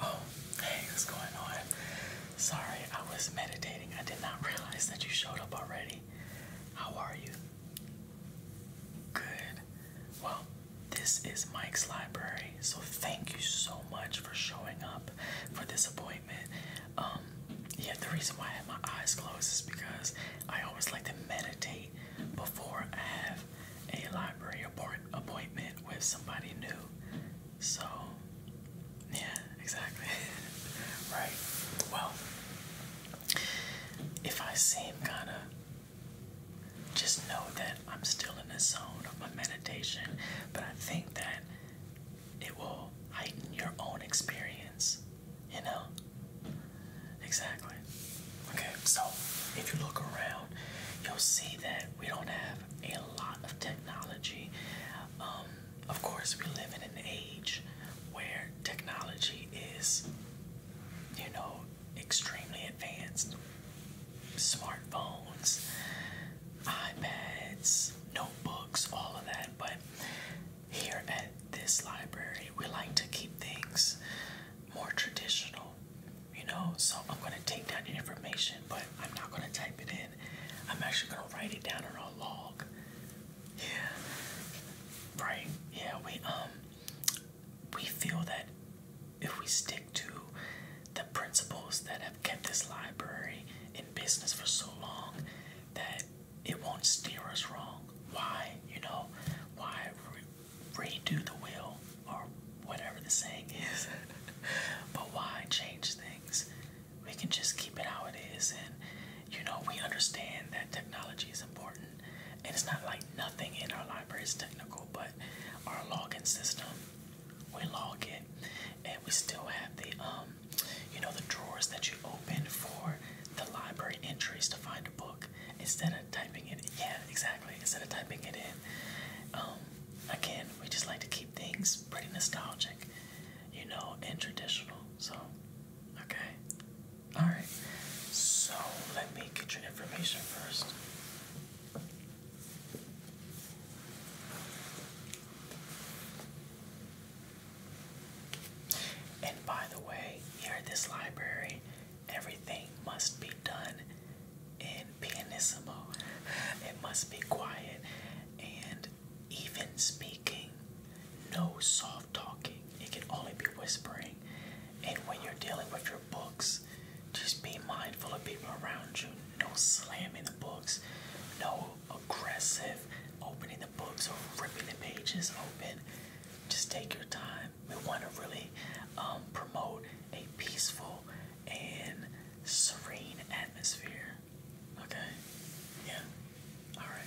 Oh, hey, what's going on? Sorry, I was meditating. I did not realize that you showed up already. How are you? Good. Well, this is Mike's library, so thank you so much for showing up for this appointment. Um, yeah, the reason why I have my eyes closed is because I always like to meditate before I have a library appointment with somebody new. So, yeah, exactly. right. Well, if I seem kind of, just know that I'm still in the zone of my meditation, but I think that it will heighten your own experience, you know? Exactly. Okay, so if you look around, you'll see that we don't have a lot of technology. Um, of course, we live in an age where technology is, you know, extremely advanced. Smartphones, iPads, notebooks, all of that. But here at this library, we like to keep things more traditional, you know. So I'm going to take down that information, but I'm not going to type it in. I'm actually going to write it down on a log. Yeah, right. Yeah, we um we feel that if we stick to the principles that have kept this library in business for so long, that it won't steer us wrong. Why, you know, why redo the wheel or whatever the saying is. but why change things? We can just keep it how it is. And, you know, we understand that technology is important. And it's not like nothing in our library is technical, but our login system, we log it. And we still have the, um, you know, the drawers that you open for the library entries to find a book instead of typing it. Yeah, exactly. Instead of typing it in, um, again, we just like to keep things pretty nostalgic, you know, and traditional. So, okay, all right. So let me get your information first. And by the way, here at this library, everything must be done in pianissimo. It must be quiet and even speaking, no soft talking. It can only be whispering. And when you're dealing with your books, just be mindful of people around you. No slamming the books, no aggressive opening the books or ripping the pages open just take your time. We want to really um, promote a peaceful and serene atmosphere. Okay? Yeah? All right.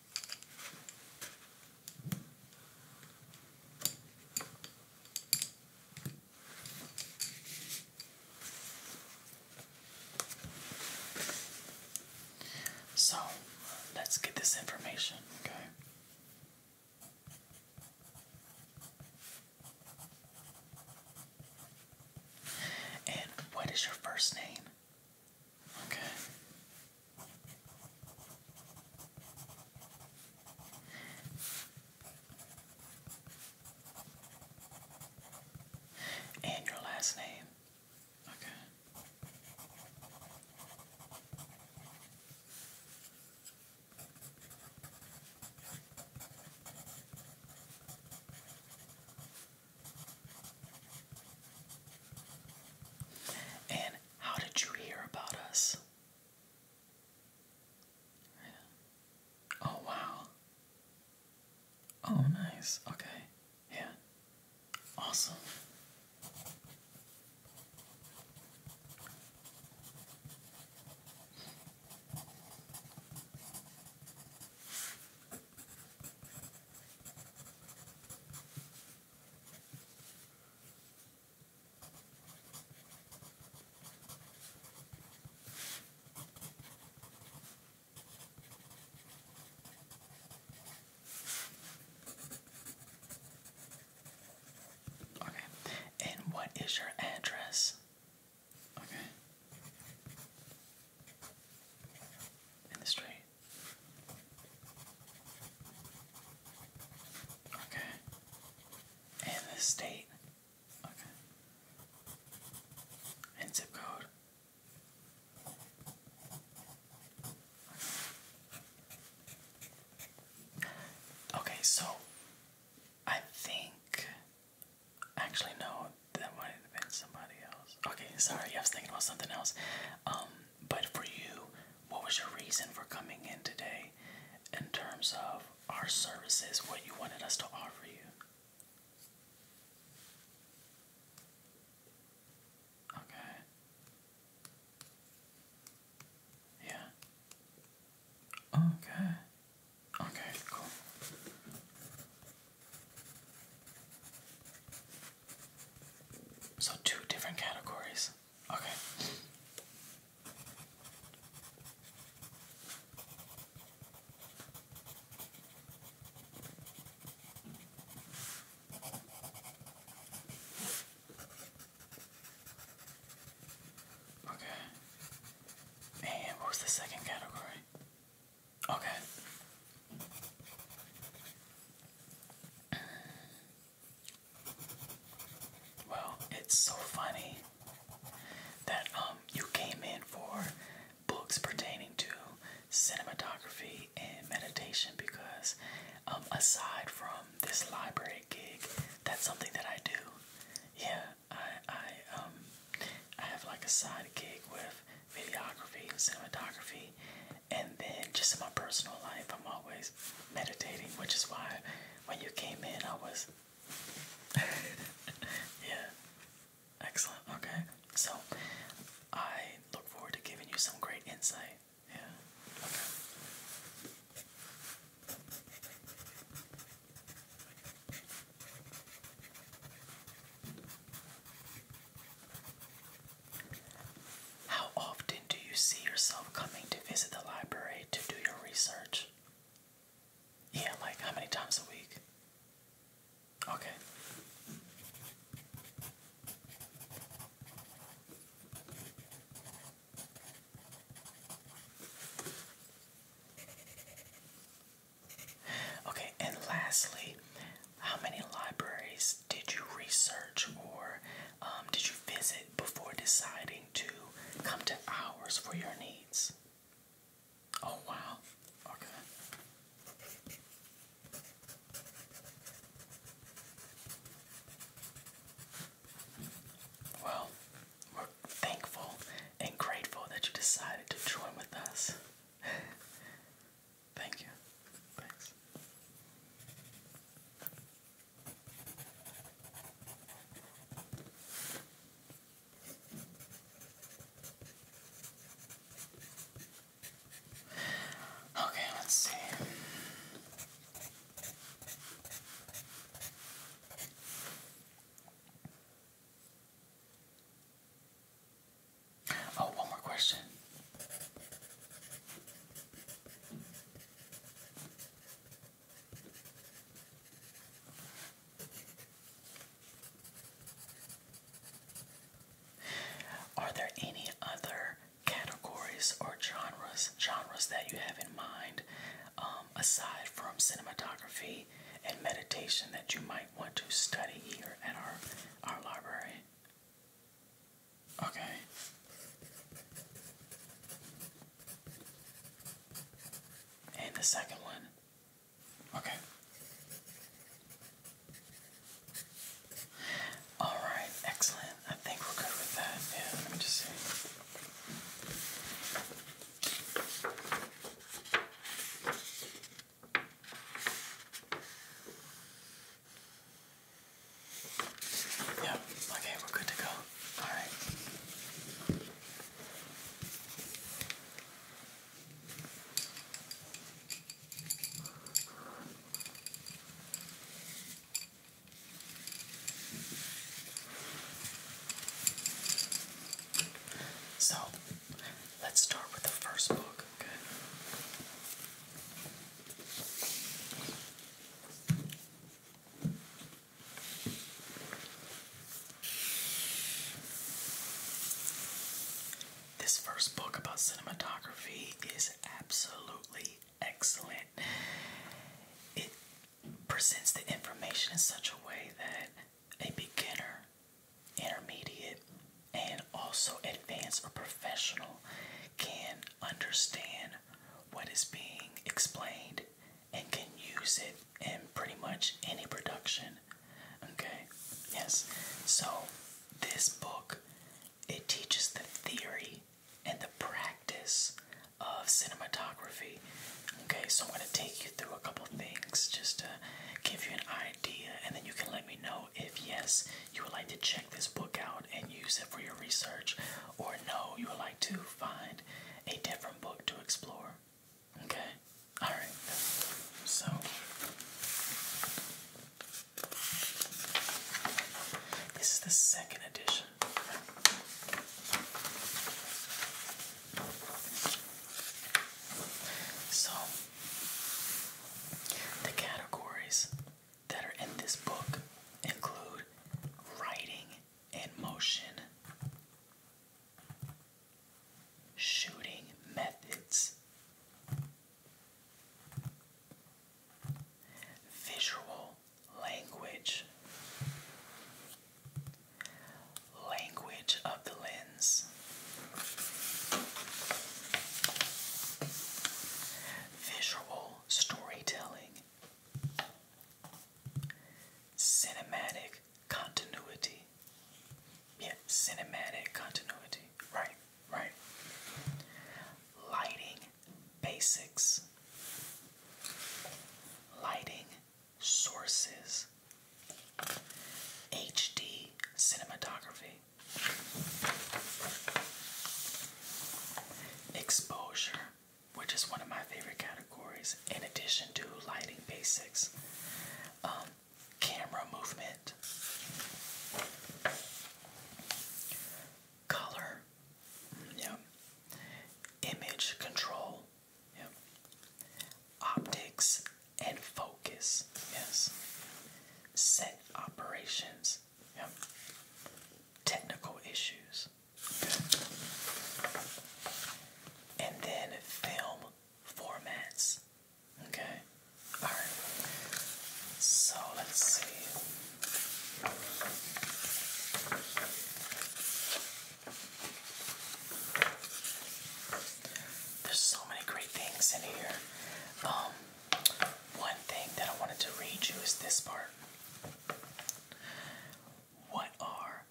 So let's get this information, okay? And what is your first name? Okay. And your last name. Okay. And how did you hear about us? Oh, wow. Oh, nice. Okay. Yeah. Awesome. Okay, and what is your address? Okay. In Okay. And the state. Okay. And zip code. Okay, so I think actually no, that might have been somebody else. Okay, sorry, I was thinking about something else. Um but for you, what was your reason for coming in today in terms of our services, what you wanted us to offer you? Okay. Yeah. Okay. Okay, cool. So, two different categories. Okay. Okay. And what was the second category? Okay. Well, it's so funny that um you came in for books pertaining to cinematography and meditation because um aside from this library gig, that's something that I do. Yeah, I I um I have like a side gig with videography and cinematography and then just in my personal life I'm always meditating, which is why when you came in, I was. yeah. Excellent. Okay. So I look forward to giving you some great insight. Yeah. Okay. How often do you see yourself coming to visit the library to do your research? Yeah, like how many times a week? Okay. Okay, and lastly, how many libraries did you research or um, did you visit before deciding to come to ours for your needs? Oh, wow. Okay. Well, we're thankful and grateful that you decided to join with us. Thank you. Thanks. Okay, let's see. Oh, one more question. Are there any other categories or genres genres that you have in mind um, aside from cinematography and meditation that you might want to study here at our our library? Okay. And the second one. Okay. Alright, excellent. I think we're good with that. Yeah, let me just see. Yep, okay, we're good to go. Alright. So, let's start with the first book, okay? This first book about cinematography is absolutely excellent. It presents the information in such a way that a beginner, intermediate, and also advanced or professional can understand what is being explained and can use it in pretty much any production. Okay? Yes. So, this book it teaches the theory and the practice of cinematography. Okay, so I'm going to take you through a couple things just to give you an idea, and then you can let me know if yes, you would like to check this book out and use it for your research, or no, you would like to find a different book to explore. Okay? Alright. So. This is the second edition. So, the categories that are in this book include writing and motion. Shooting methods. Visual language. Language of the lens. Visual storytelling cinematic continuity. Yeah, cinematic continuity. Right, right. Lighting basics. Lighting sources. HD cinematography. Exposure which is one of my favorite categories, in addition to lighting basics, um, camera movement, color, yep. image control, yep. optics and focus, yes, set operations, yep. technical issues. And then film formats. Okay. All right. So let's see. There's so many great things in here. Um, one thing that I wanted to read you is this part what are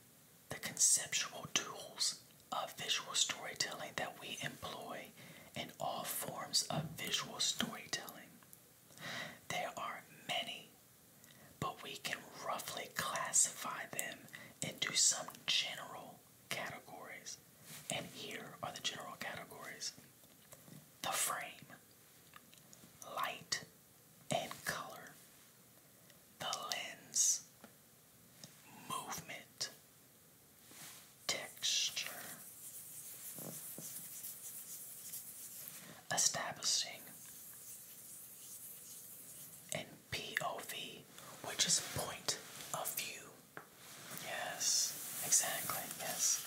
the conceptual tools of visual storytelling that we employ in all forms of visual storytelling? There are many, but we can roughly classify them into some general categories. And here are the general categories the frame, light, and color, the lens, movement, texture. Establishing and POV, which is point of view. Yes, exactly, yes.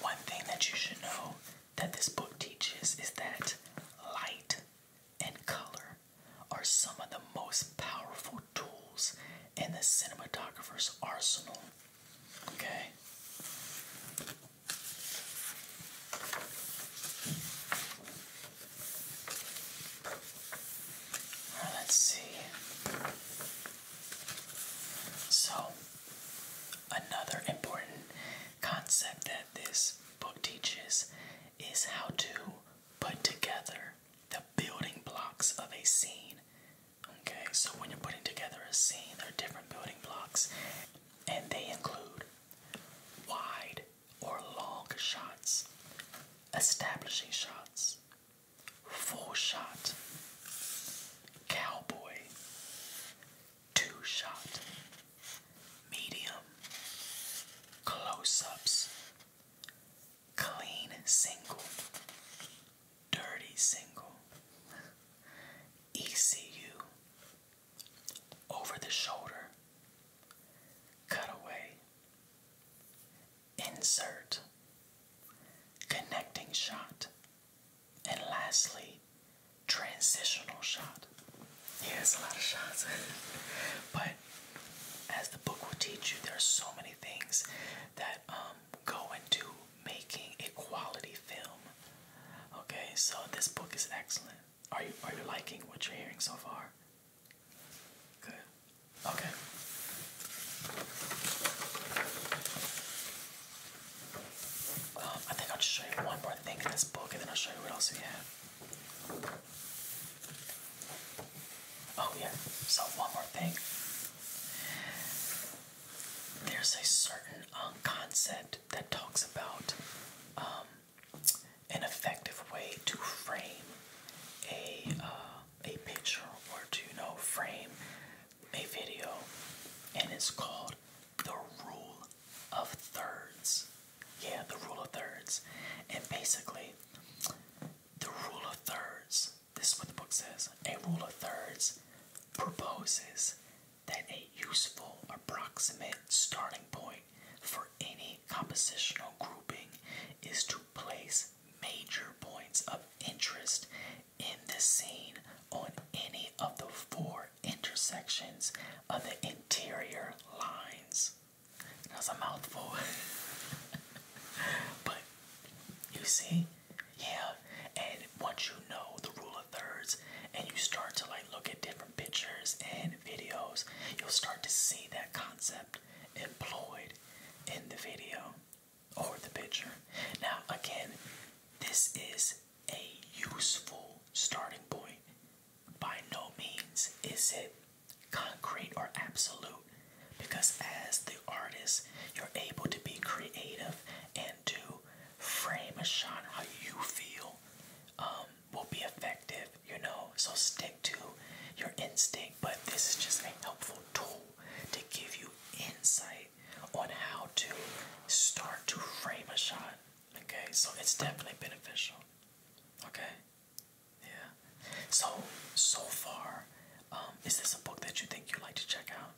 One thing that you should know that this book teaches is that light and color are some of the most powerful tools in the cinematographer's arsenal. Okay? Let's see. So, another important concept that this book teaches is how to put together the building blocks of a scene. Okay, so when you're putting together a scene, there are different building blocks, and they include wide or long shots, establishing shots, full shot, cowboy, two shot, medium, close ups, clean single, dirty single, ECU, over the shoulder, cutaway, insert, connecting shot, and lastly, transitional shot. Yeah, a lot of shots, but as the book will teach you, there are so many things that um, go into making a quality film. Okay, so this book is excellent. Are you are you liking what you're hearing so far? Good. Okay. Um, I think I'll just show you one more thing in this book and then I'll show you what else we have. Oh, yeah. So, one more thing. There's a certain um, concept that talks about um, an effective way to frame a uh, a picture or to know frame a video, and it's called the rule of thirds. Yeah, the rule of thirds, and basically, the rule of thirds. This is what the book says. A rule of thirds proposes that a useful approximate starting point for any compositional grouping is to place major points of interest in the scene on any of the four intersections of the interior lines. That's a mouthful. but you see, yeah, and once you know the rule of thirds and you start to like look at different pictures and videos, you'll start to see that concept employed in the video or the picture. Now, again, this is a useful starting point. By no means is it concrete or absolute, because as the artist, you're able to be creative and to frame a shot how you feel um, will be effective, you know. So stick to your instinct, but this is just a helpful tool to give you insight on how to start to frame a shot. Okay, so it's definitely beneficial. Okay, yeah. So so far, um, is this a book that you think you like to check out?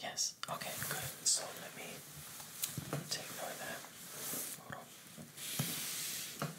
Yes. Okay. Good. So let me take note of that. Hold on.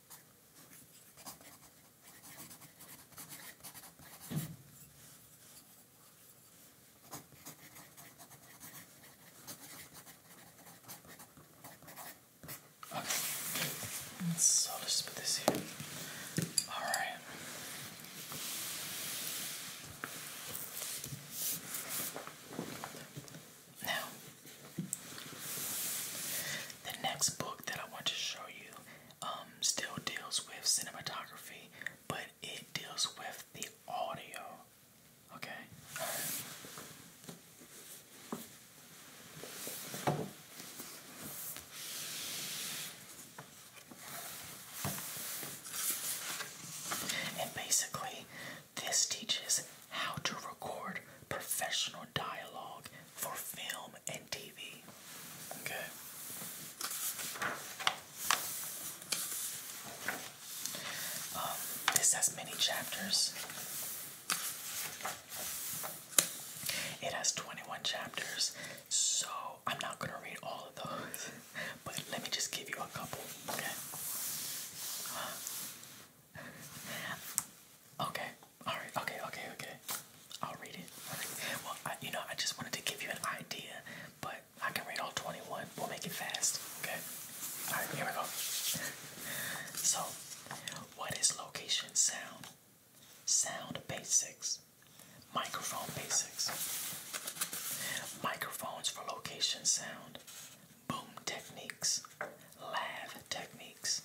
Okay, so I'll just put this here. All right. Now, the next book that I want to show you um, still deals with cinematography, but it deals with the audio. Okay? And basically, this teaches how to record professional dialogue for film and TV. Okay. Um, this has many chapters. It has 21 chapters, so I'm not going to read all of those, but let me just give you a couple, okay? Okay, all right. Okay. Okay. Okay. I'll read it. I'll read it. Well, I, you know, I just wanted to give you an idea, but I can read all 21. We'll make it fast. Okay. All right. Here we go. So, what is location sound? Sound basics. Microphone basics. Microphones for location sound. Boom techniques lab techniques,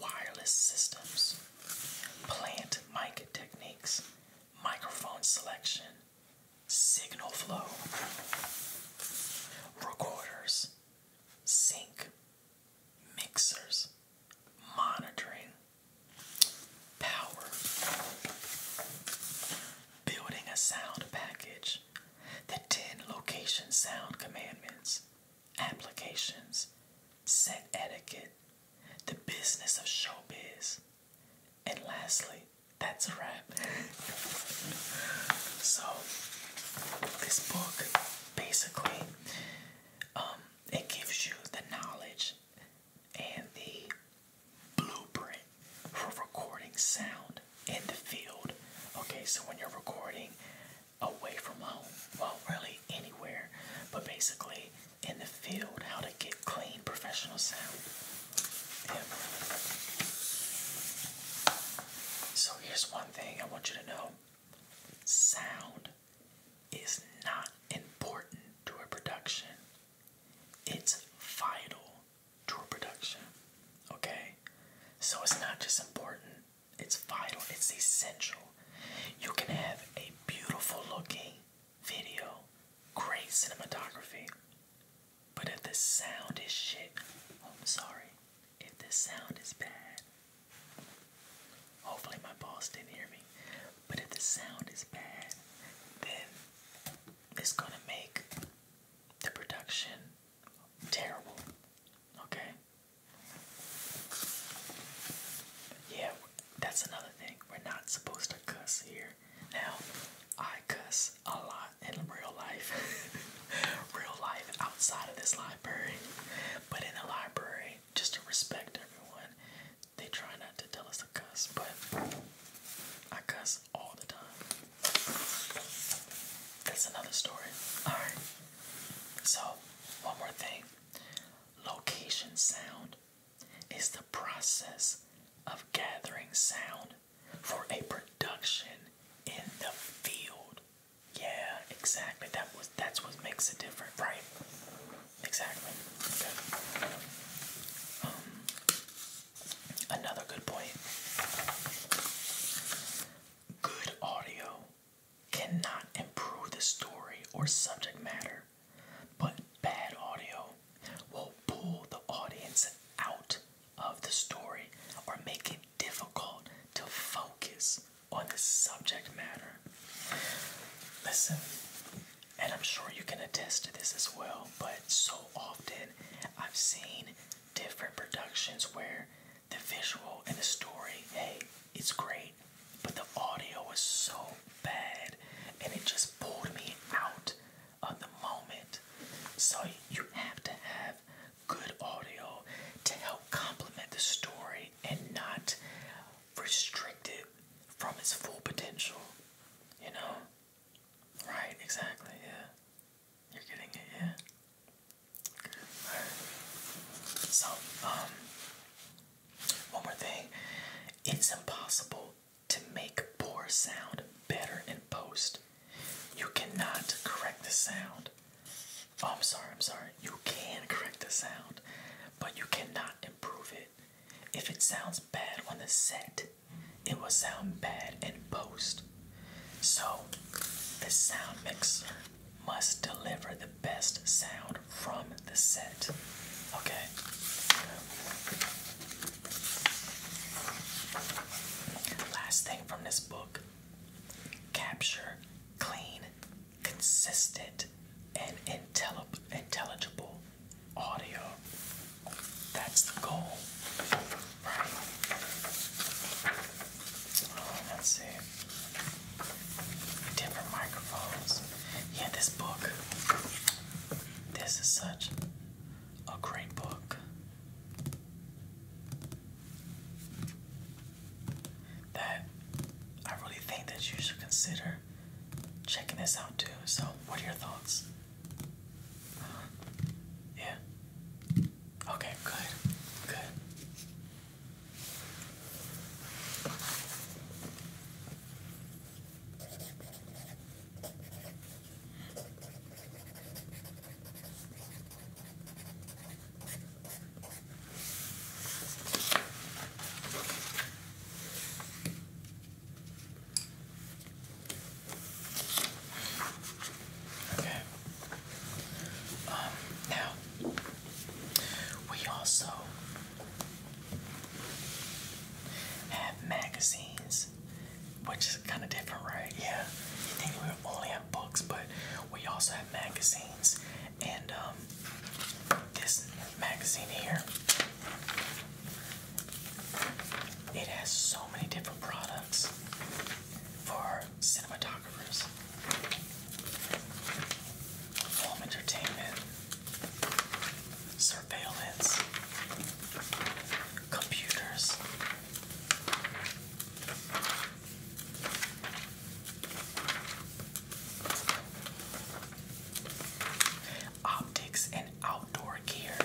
wireless systems, plant mic techniques, microphone selection, signal flow, recorders, sync, mixers, monitoring, power, building a sound package, the 10 location sound commandments, applications, set etiquette, the business of showbiz, and lastly, that's a wrap. so, this book basically um, it gives you the knowledge and the blueprint for recording sound in the field. Okay, so when you're recording away from home, well, really anywhere, but basically in the field, how to get clean professional sound. So here's one thing I want you to know sound is not important to a production, it's vital to a production. Okay? So it's not just important it's vital, it's essential. You can have a beautiful looking video, great cinematography, but if the sound is shit, oh, I'm sorry, if the sound is bad, hopefully my boss didn't hear me, but if the sound is bad, then it's gonna make the production terrible, okay? Yeah, that's another thing. We're not supposed to cuss here. Now, I cuss a lot in real life. real life outside of this library. But in the library, just to respect everyone, they try not to tell us to cuss, but I cuss all the time. That's another story. Alright. So one more thing location sound is the process of gathering sound for a production in the field. Yeah, exactly. That was that's what makes it different, right? Exactly. Okay. Um, another good point. Good audio cannot improve the story or subject matter, but bad audio will pull the audience out of the story or make it difficult to focus on the subject matter. Listen, and I'm sure you can attest to this as well, but so often I've seen different productions where the visual and the story, hey, it's great, but the audio was so bad and it just pulled me out of the moment. So you have to have good audio to help complement the story and not restrict it from its full potential. You know? Right, exactly, yeah. You're getting it, yeah. So, um, one more thing. It's impossible to make poor sound better in post. You cannot correct the sound. Oh, I'm sorry, I'm sorry. You can correct the sound, but you cannot improve it. If it sounds bad on the set, it will sound bad in post. So, the sound mixer must deliver the best sound from the set. Okay. Last thing from this book capture clean, consistent, and intelligible audio. That's the goal, right? let's see. Different microphones. Yeah, this book. This is such a great book. That I really think that you should consider checking this out too. So, what are your thoughts? Uh-huh. yeah. Okay, good. Good. Okay. Um, now we also have magazines, which is kind of different, right? Yeah, you think we only have books, but we also have magazines. And um, this magazine here, it has so many different products for cinematographers, film entertainment, surveillance, computers. Optics and outdoor gear,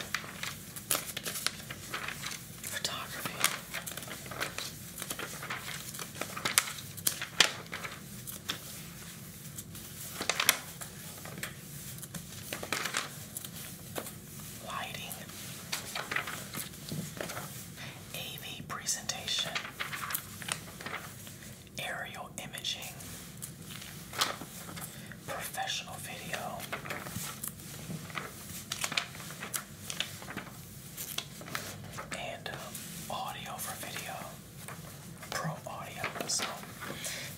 photography, Lighting, AV presentation, aerial imaging, professional video and um, audio for video, pro audio. So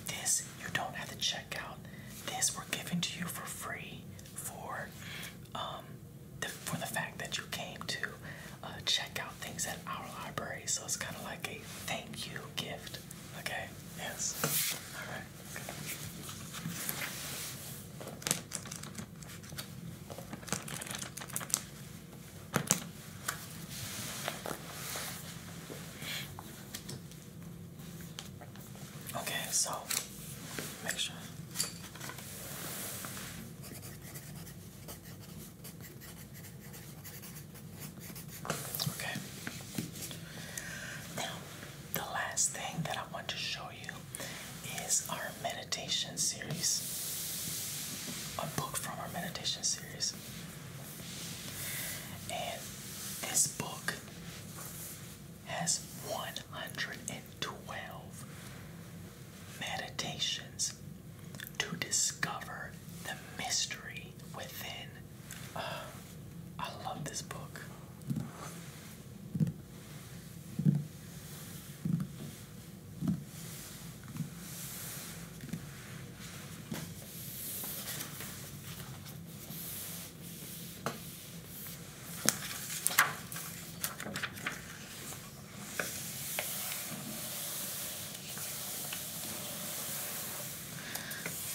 this you don't have to check out. This we're giving to you for free for um, for the fact that you came to uh, check out things at our library. So it's kind of like a thank you gift. Okay. Yes. All right. Okay, so make sure. Okay. Now, the last thing that I want to show you is our meditation series. A book from our meditation series. And this book has 112 meditations to discover the mystery within. Ah, I love this book.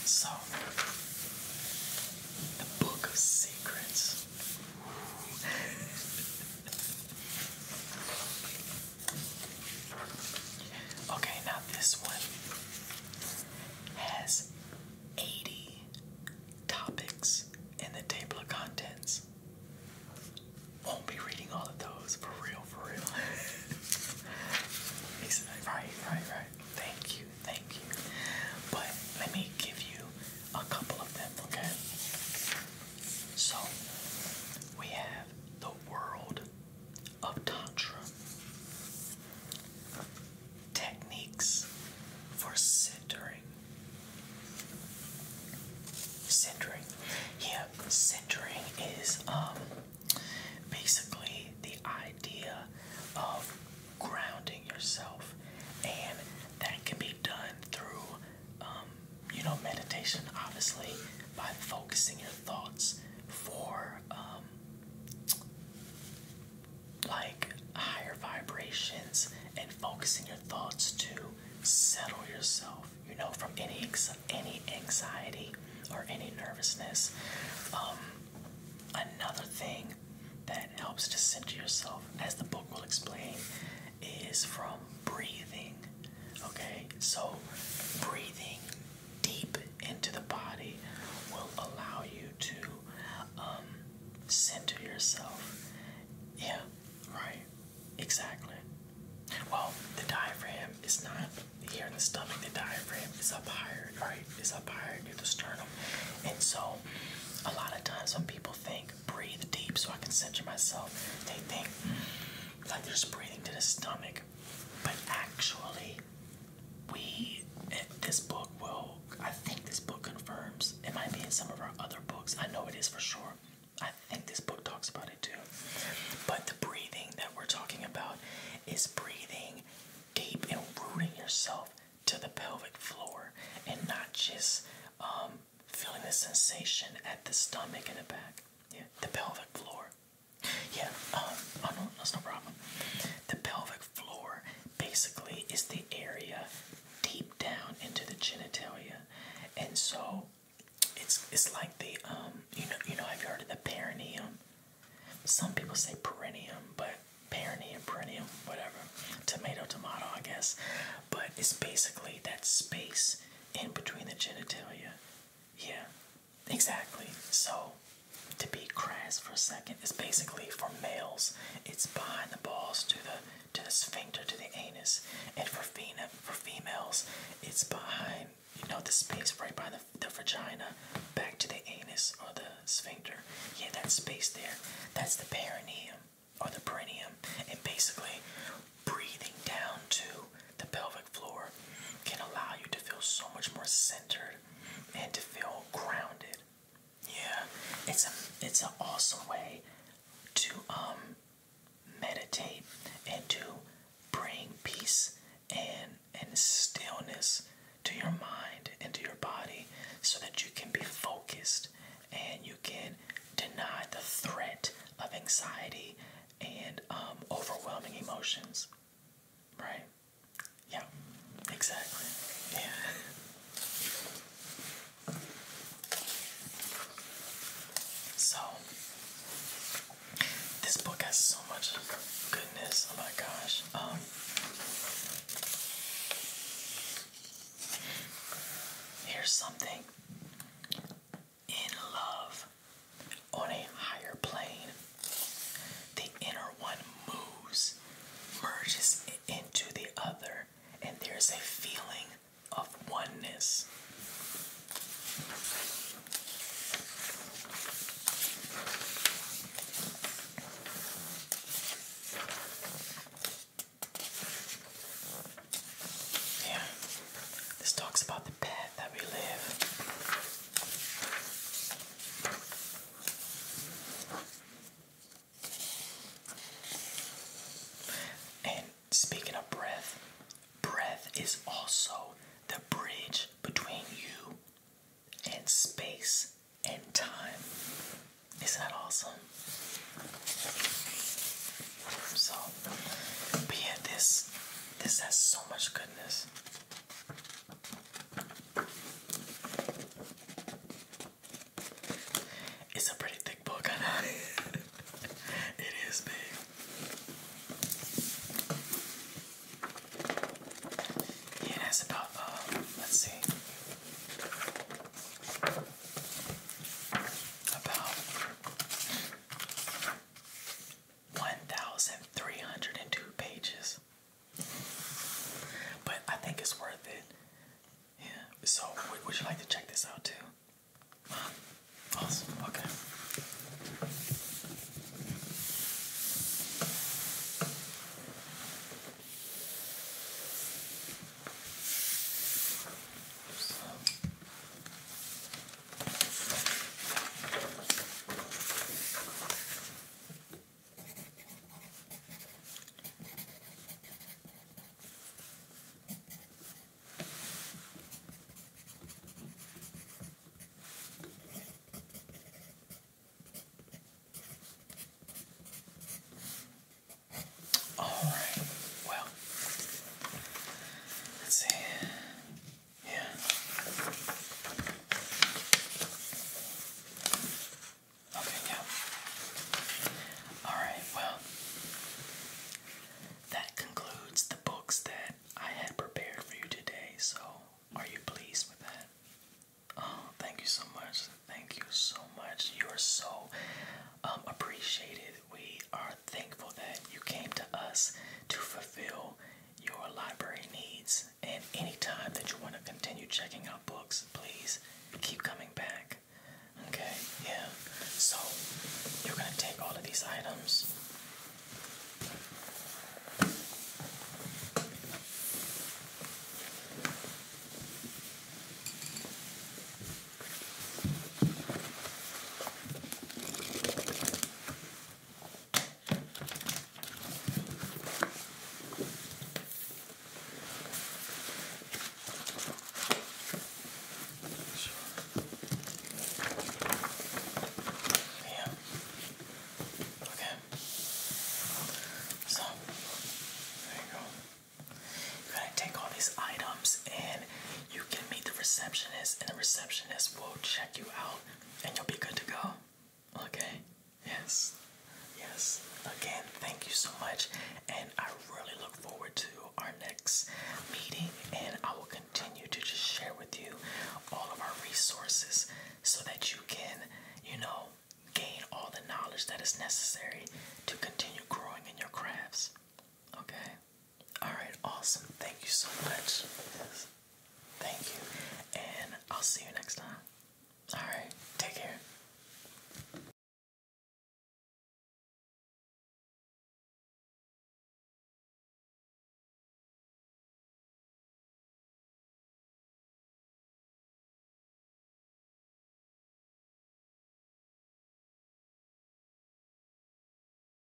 So, the Book of Secrets. Okay, now this one has 80 topics in the table of contents. Won't be reading all of those for real, for real. right, right, right. Thank you, thank you. But let me give you a couple of them, okay? So we have the world of Tantra techniques for centering. Centering. Yeah, centering is um basically the idea of grounding yourself and that can be done through um, you know, meditation obviously by focusing your thoughts for um, like higher vibrations and focusing your thoughts to settle yourself, you know, from any any anxiety or any nervousness. Um, another thing that helps to center yourself, as the book will explain, is from breathing. Okay, so breathing deep into the body will allow you to um, center yourself. Yeah, right, exactly. Well, the diaphragm is not here in the stomach, the diaphragm is up higher, right? It's up higher near the sternum. And so, a lot of times when people think breathe deep so I can center myself, they think like they just breathing to the stomach. But actually, we eh, this book will I think this book confirms. It might be in some of our other books. I know it is for sure. I think this book talks about it too. But the breathing that we're talking about is breathing deep and rooting yourself to the pelvic floor and not just um, feeling the sensation at the stomach and the back. Yeah, the pelvic floor. Yeah, um, oh no, that's no problem. The pelvic floor basically is the area deep down into the genitalia, and so it's it's like the um you know you know i have heard of the perineum? Some people say perineum, but perineum, perineum, whatever. Tomato, tomato, I guess. But it's basically that space in between the genitalia. Yeah, exactly. So, to be crass for a second, is basically for males, it's behind the balls to the to the sphincter to the anus, and for fema for females, it's behind you know the space right by the the vagina, back to the anus or the sphincter. Yeah, that space there, that's the perineum or the perineum, and basically breathing down to the pelvic floor can allow you to feel so much more centered and to feel grounded. Yeah, it's a it's an awesome way to um meditate and to bring peace and and stillness to your mind and to your body so that you can be focused and you can deny the threat of anxiety and um, overwhelming emotions. Right? Yeah, exactly. Yeah. So, this book has so much goodness. Oh my gosh. Um, here's something in love on a higher plane. The inner one moves, merges into the other, and there's a feeling of oneness. Yeah. This talks about the path that we live. And speaking of breath, breath is also the bridge between you and space and time. Isn't that awesome? So, but this this has so much goodness. It's a pretty thick book, I know. it is big. Yeah, that's about, uh, let's see. About 1,302 pages. But I think it's worth it. Yeah. So, would you like to check this out too? Awesome. Okay. All right. Well, let's see. Yeah. Okay, yeah. Alright, well, that concludes the books that I had prepared for you today. So, are you pleased with that? Oh, thank you so much. Thank you so much. You are so um, appreciated. We we are thankful that you came to us to fulfill your library needs. And anytime that you want to continue checking out books, please keep coming back. Okay, yeah. So you're going to take all of these items. Yeah. Okay. So there you go. You're to take all these items and you can meet the receptionist, and the receptionist will check you out, and you'll be good to go. Okay? Yes. Yes. Again, thank you so much, and I really look forward to our next meeting, and I will continue to just share with you all of our resources so that you can, you know, gain all the knowledge that is necessary to continue growing in your crafts. Okay? Alright, awesome. Thank you so much. Thank you. And I'll see you next time. Alright, take care.